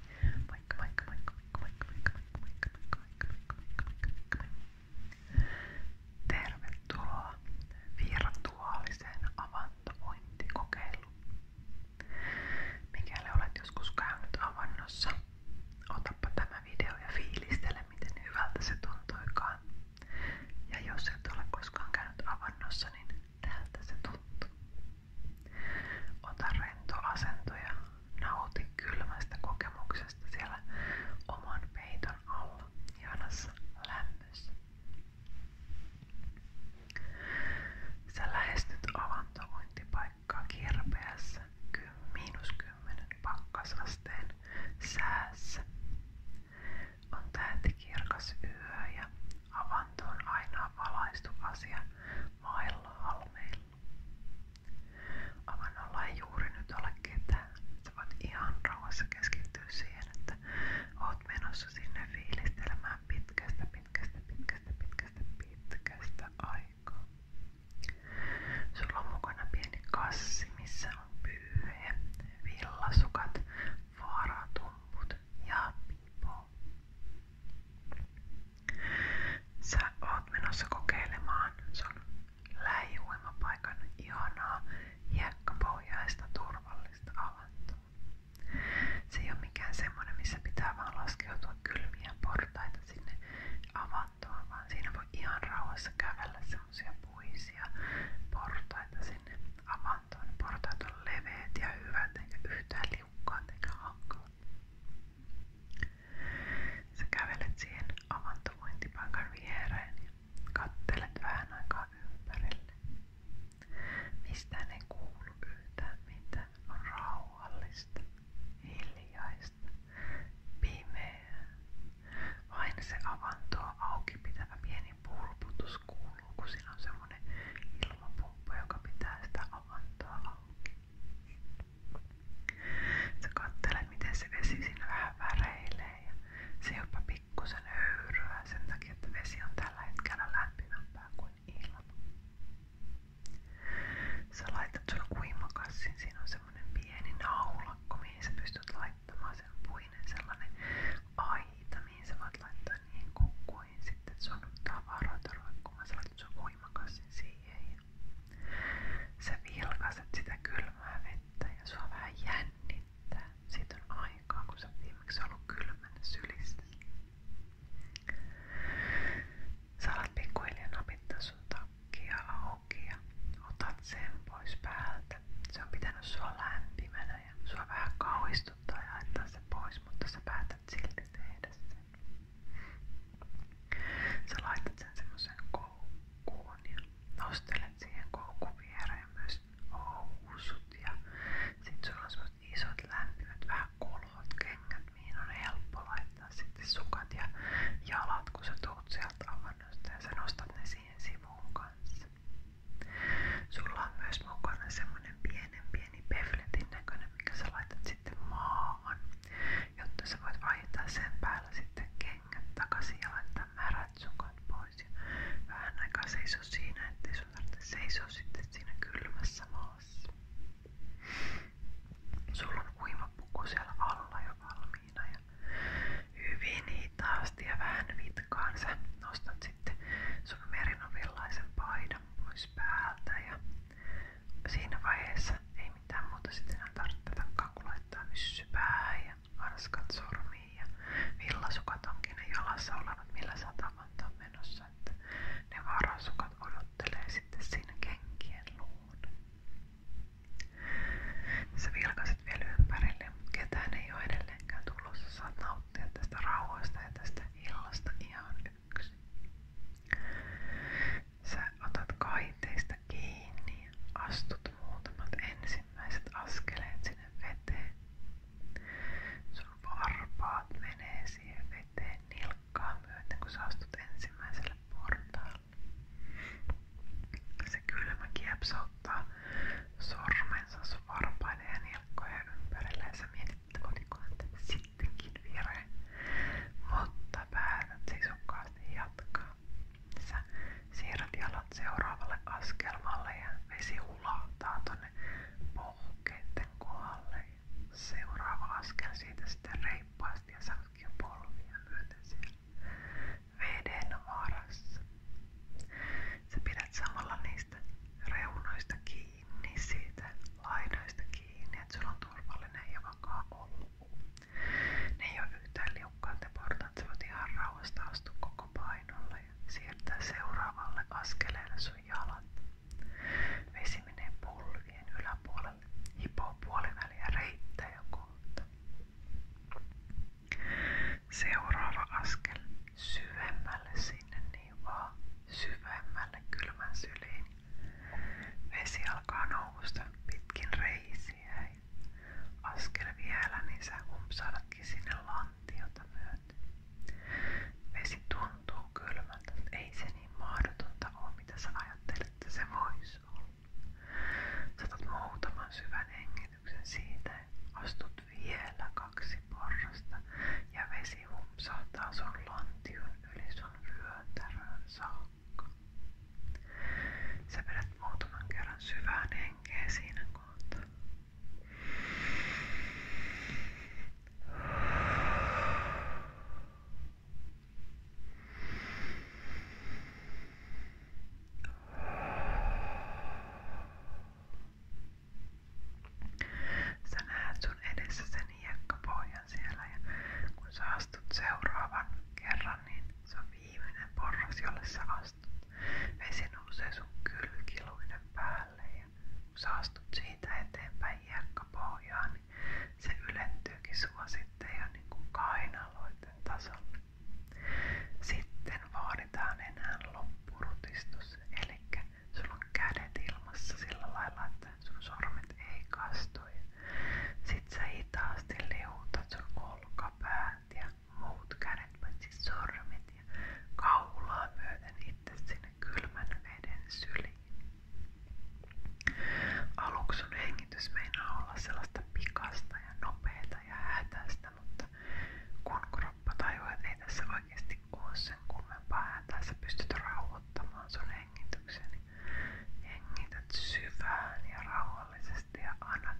Moikka, moikka, moikka, moikka, moikka, moikka, moikka, moikka, moikka, moikka, Tervetuloa virtuaaliseen avantovointikokeiluun. Mikäli olet joskus käynyt avannossa, otapa tämä video ja fiilistele, miten hyvältä se tuntuikaan. Ja jos et ole koskaan käynyt avannossa, niin tältä se tuntuu. Ota rento asento ja nauti kylmästä kokemuksesta siellä oman peiton alla, ihanassa lämmössä. Sä lähestyt avantointipaikkaa kirpeässä miinus 10 pakkasasteen säässä. On tähtikirkas yö ja Avanto on aina valaistu asia mailla halmeilla. Avannolla ei juuri nyt ole ketään. Sä voit ihan rauhassa keskittyä siihen, että oot menossa sinne fiilistelemään pitkästä, pitkästä, pitkästä, pitkästä, pitkästä aikaa. Sulla on mukana pieni kassi, missä on pyyhe, villasukat, vaaratumput ja pipo. Sä oot menossa kokeilemaan sun lähiuimapaikan ihanaa hiekkapohjaista turvallista avantoa. Se ei ole mikään semmonen, missä pitää vaan laskeutua kylmiä portaita sinne avantoon, vaan siinä voi ihan rauhassa kävellä semmoisia puisia portaita sinne avantoon lantun. Portaat on leveät ja hyvät, eikä yhtään liukkaat eikä hankalat. Sä kävelet siihen avantovointipaikan viereen ja kattelet vähän aikaa ympärille. Mistään ei kuulu yhtään mitään. On rauhallista, hiljaista, pimeää. Vain se avantoa auki pitävä pieni purputus taas kuuluu, kun siinä on semmonen ilmapumppu, joka pitää sitä avantoa auki. Sä kattelet, miten se vesi siinä vähän väreilee ja se jopa pikkusen höyryää sen takia, että vesi on tällä hetkellä lämpimämpää kuin ilma. Sä laitat sun uimakassin, siinä on semmonen pieni naulakko, mihin sä pystyt laittamaan sen puinen sellainen aita, mihin sä voit laittaa niin kuin voin sitten sun tavaroita roikkumassa, laitat sun uimakassin siihen ja sä vilkaset sitä kylmää vettä ja sua vähän jännittää. Siitä on aikaa, kun sä viimeksi ollut kylmänä sylissä. Sä alat pikkuhiljaa napittaa sun takkia auki ja otat sen pois päältä. Se on pitänyt sua lämpimänä ja sua vähän kauhistunut istuttaa ja haittaa se pois, mutta sä päätät silti tehdä sen. Sä laitat sen semmoisen koukkuun ja nostelet siihen koukun viereen myös housut ja sit sulla on semmoset isot lämpimät vähän kolhot kengät, mihin on helppo laittaa sitten sukat ja jalat, kun sä tuut sieltä avannosta ja sä nostat ne siihen sivuun kanssa. Sulla myös mukana semmonen pienen pieni pefletin näköinen, mikä sä laitat maahan, jotta sä voit vaihtaa sen päällä sitten kengät takaisin ja laittaa märät sukat pois. Ja vähän aikaa seiso siinä, ettei sun sitten siinä kylmässä maassa. Sulla on alla jo valmiina ja hyvin hitaasti ja vähän vitkaan sä nostat sitten sun merinovillaisen paidan pois päältä ja siinä vaiheessa ei mitään muuta sitten enää tarvitse kun laittaa ja hanskat sormiin villasukat onkin ne jalassa olevat millä satamaan ne varasukat odottelee sitten siinä kenkien luona. Sä vilkaset vielä ympärille, mutta ketään ei ole edelleenkään tulossa. Saat nauttia tästä rauhasta ja tästä illasta ihan yksi. Sä otat kaiteista kiinni ja ensimmäiset askeleet sinne veteen. Sun varpaat veteen nilkkaa kun sä astut ensimmäiselle Se kylmä kiepsauttaa sormensa sun varpaiden verkkoja ympärillensä mietit kotikuvan sittenkin virhe, mutta päätät sisukkaasti jatkaa. Sä siirrät jalat seuraavalle askelmalle ja vesi hulahtaa tonne pohkeiden kohdalle. Seuraava askel siitä sitten reippaasti ja satkio polvia myöten siellä veden varassa. Sä pidät samalla niistä reunoista kiinni, siitä laidoista kiinni, että sulla on turvallinen ja vakaa olo. Ne ei ole yhtään liukkaat ja portaat, sä voit ihan rauhasta astua koko painolle ja siirtää seuraavalle askeleelle sun jalat. Vesi menee polvien yläpuolelle, hipoo puoliväliä reittää ja kohta. Seuraava askel syvemmälle sinne niin vaan syvemmälle Vesi alkaa nousta pitkin reisiä. Askel vielä, niin sä humpsaudatkin sinne lantiota myöten. Vesi tuntuu kylmältä, mutta ei se niin mahdotonta ole, mitä sä se voisi olla. Saatat käsityksen siitä, astut vielä kaksi porrasta ja vesi humpsahtaa sun lantion yli sun vyötärön saakka. Sä vedät muutaman kerran syvään henkeä siinä kohtaa. Sä näet sun edessä sen hiekkapohjan siellä ja kun astut seuraavan kerran, niin se on viimeinen porras, jolle sä astut. päälle ja kun astut siitä eteenpäin hiekkapohjaan, niin se ylentyykin sua sitten jo niin kuin sitten vaaditaan enää loppurutistus, eli sulla on kädet ilmassa sillä lailla, että sun sormet ei kastui. Sitten sä hitaasti liutat sun olkapäät ja muut kädet, paitsi sormet ja kaulaa myöten itse sinne kylmän veden syliin. Aluksi sun hengitys meinaa olla sellaista pikasta ja nopeata ja hätäistä, mutta mutta kun kroppa tajuu, että ei tässä oikeasti ole sen kummempaa ääntä, sä pystyt rauhoittamaan sun hengityksen. Niin hengität syvään ja rauhallisesti ja annat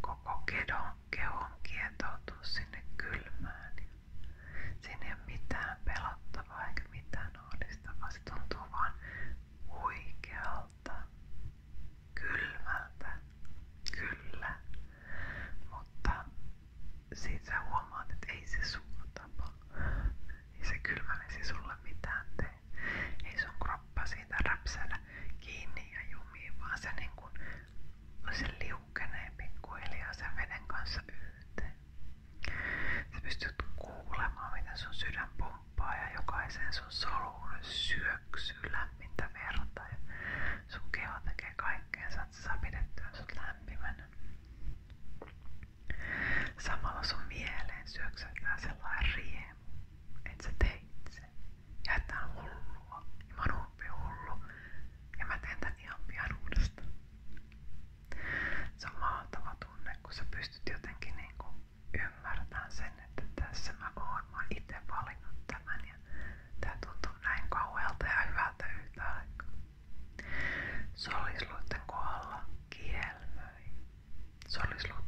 koko kedon, kehon kietoutua sinne kylmään. Siinä ei ole mitään pelottavaa eikä mitään ahdistavaa. Se tuntuu vaan huikealta, kylmältä, kyllä, mutta siitä sä huomaat, että ei se sua tapa, ei se kylmä vesi sulle mitään tee, ei sun kroppa siitä räpsädä kiinni ja jumiin, vaan se niin se liukenee pikkuhiljaa sen veden kanssa yhteen. Sä pystyt kuulemaan, miten sun sydän pomppaa ja jokaisen sun soluun syö syöksyy lämmintä verta ja sun keho tekee kaikkeensa, lämpimänä. Samalla sun mieleen syöksytään sellainen riemu, että teit sen. Ja että on hullua. Ja mä oon Ja mä teen tän ihan pian uudestaan. Se on kun sä pystyt jotenkin niinku ymmärtämään sen, tässä mä oon, mä oon itse valinnut tämän ja tää tuntuu näin kauhealta ja hyvältä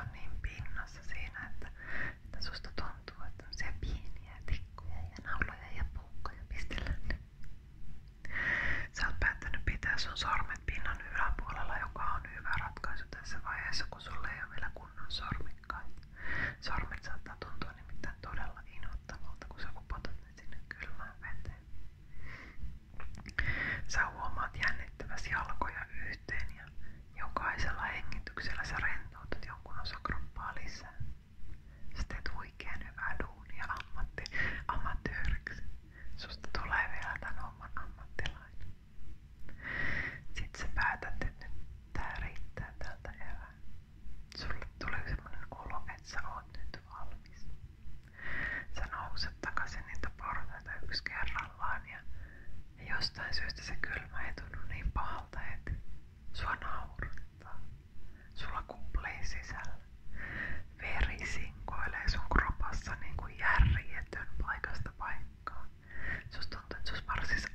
on niin pinnassa siinä, että, että tuntuu, että on pieniä tikkuja ja nauloja ja puukkoja pistellään nyt. Sä oot päättänyt pitää sun sormet pinnan on hyvä ratkaisu tässä vaiheessa, kun sulle ei vielä kunnon sormi kai. Sormet saattaa tuntua nimittäin todella inhottavalta, kun sä upotat ne sinne kylmään veteen. Sä huomaat jännittäväsi jalkoja yhteen ja jokaisella hengityksellä sä rentoutat jonkun osakroppaa lisää. Sä teet huikean hyvää duunia ammatti, amatööriksi. Susta tulee vielä tämän homman ammattilainen. Sitten sä päätät, että nyt tää riittää tältä erää. Sulle tulee semmonen olo, että sä oot nyt valmis. Sä nouset takaisin niitä portaita yksi kerrallaan ja, ja jostain syystä se kylmä ei tunnu niin pahalta, että sua naurattaa. Sulla kuplee sisällä. Veri sinkoilee sun kropassa niin kuin järjetön paikasta paikkaan. Se olisi tuntunut, että se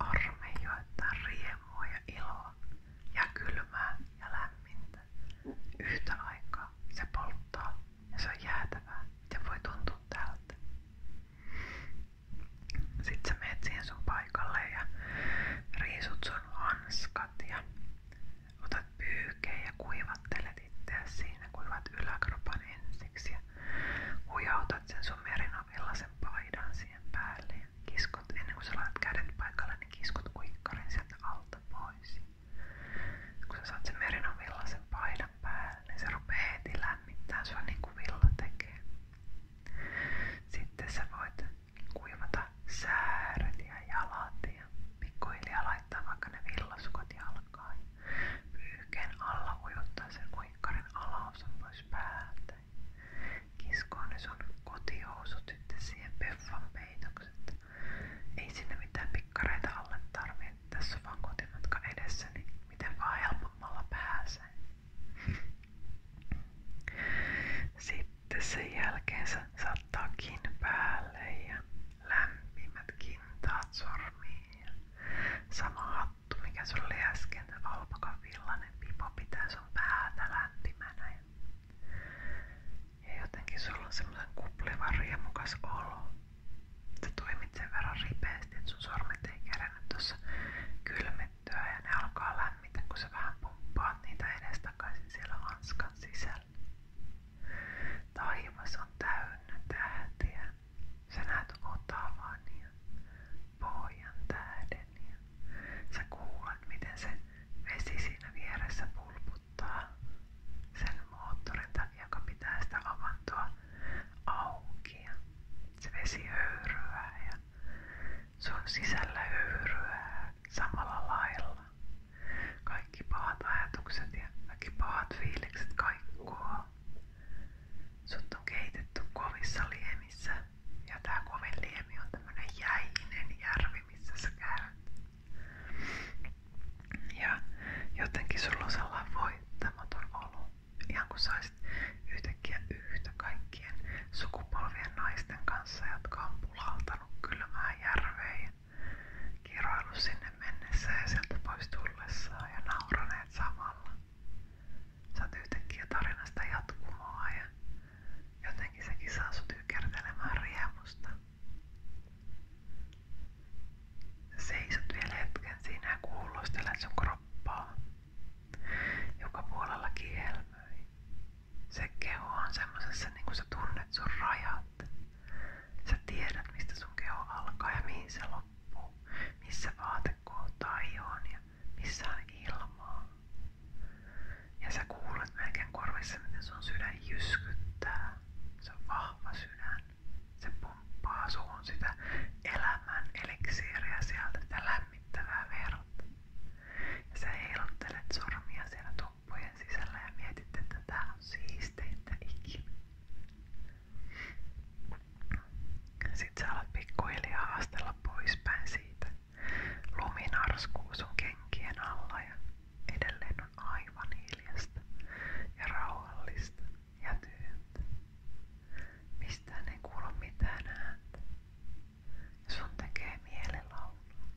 iloa ja kylmää ja lämmintä. Yhtä aikaa se polttaa ja se on jäätävää. voi tuntua Sitten sä meet siihen ja riisut sun hanskat ja otat pyykeen ja siinä. Kuivat yläkropan ensiksi ja otat sen sun merinovillasen paidan siihen päälle ja ennen kuin sä laitat kädet paikalle, niin kiskot kuikkarin sieltä alta pois. Kun sä saat sen merinovillasen paidan niin se rupeaa heti lämmittää sua niin kuin villa tekee. Sitten sä voit kuivata sääret ja jalat ja laittaa vaikka ne villasukot jalkaan. Pyyhkeen alla ujuttaa sen muikkarin alaosa pois päältä. Kiskoon ne sun kotihousut sitten siihen peffan Ei sinne mitään pikkareita alle tarvitse. Tässä on vaan kotimatka edessä, niin miten vaan helpommalla pääsee. Sitten sen jälkeen sä päälle ja lämpimät kintaat sormiin sama juttu, mikä sulla oli äsken, se valpakan villainen pipo pitää sun päätä lämpimänä. Ja jotenkin sulla on semmoisen kuplivan riemukas olo. Sä toimit sen verran ripeästi, että sun sormet ei kerännyt tuossa kylmettyä ja ne alkaa lämmitä, kun sä vähän pumppaat niitä edestakaisin siellä hanskan sisällä. Taivas on täynnä tähtiä. Sä näet otavan ja niin pohjan tähden miten se vesi siinä vieressä pulputtaa sen moottorin takia, joka pitää se vesi höyryää ja sun sisällä höyryää samalla lailla. Kaikki pahat ajatukset ja kaikki pahat fiilikset kaikkoa. Sut on keitetty kovissa ja tää kovin on tämmönen jäinen järvi, missä sä käyt. Ja jotenkin sulla on sellainen voittamaton olo. yhtäkkiä yhtä kaikkien sukupolvien naisten kanssa, jotka on pulautanut kylmään järveen ja kiroillut sinne mennessä ja sieltä samalla. Saat yhtäkkiä tarinasta jatkumoa ja jotenkin sekin saa sut ykertelemään riemusta. Seisot vielä hetken siinä ja kuulostelet sun joka puolella kihelmöi. Se keho on semmosessa, niin kuin sä tunnet sun rajat. Sä tiedät, mistä sun keho alkaa ja mihin loppuu, missä vaate kohtaa ihoon ja missä on ilmaa. Ja sä kuulet melkein korvissa, miten sun sydän jyskyttää. Se on vahva sydän. Se pumppaa suun sitä elämän eliksiiriä sieltä, sitä lämmittävää verta. Ja sä heiluttelet sormia siellä tuppujen sisällä ja mietit, että tää on siisteintä ikinä. Sitten sä alat pikkuhiljaa haastella poispäin siitä. Lumi narskuu sun kenkien alla ja edelleen on aivan hiljasta ja rauhallista ja tyyntä. Mistään ei kuulu mitään ääntä. Sun tekee mieli laulaa.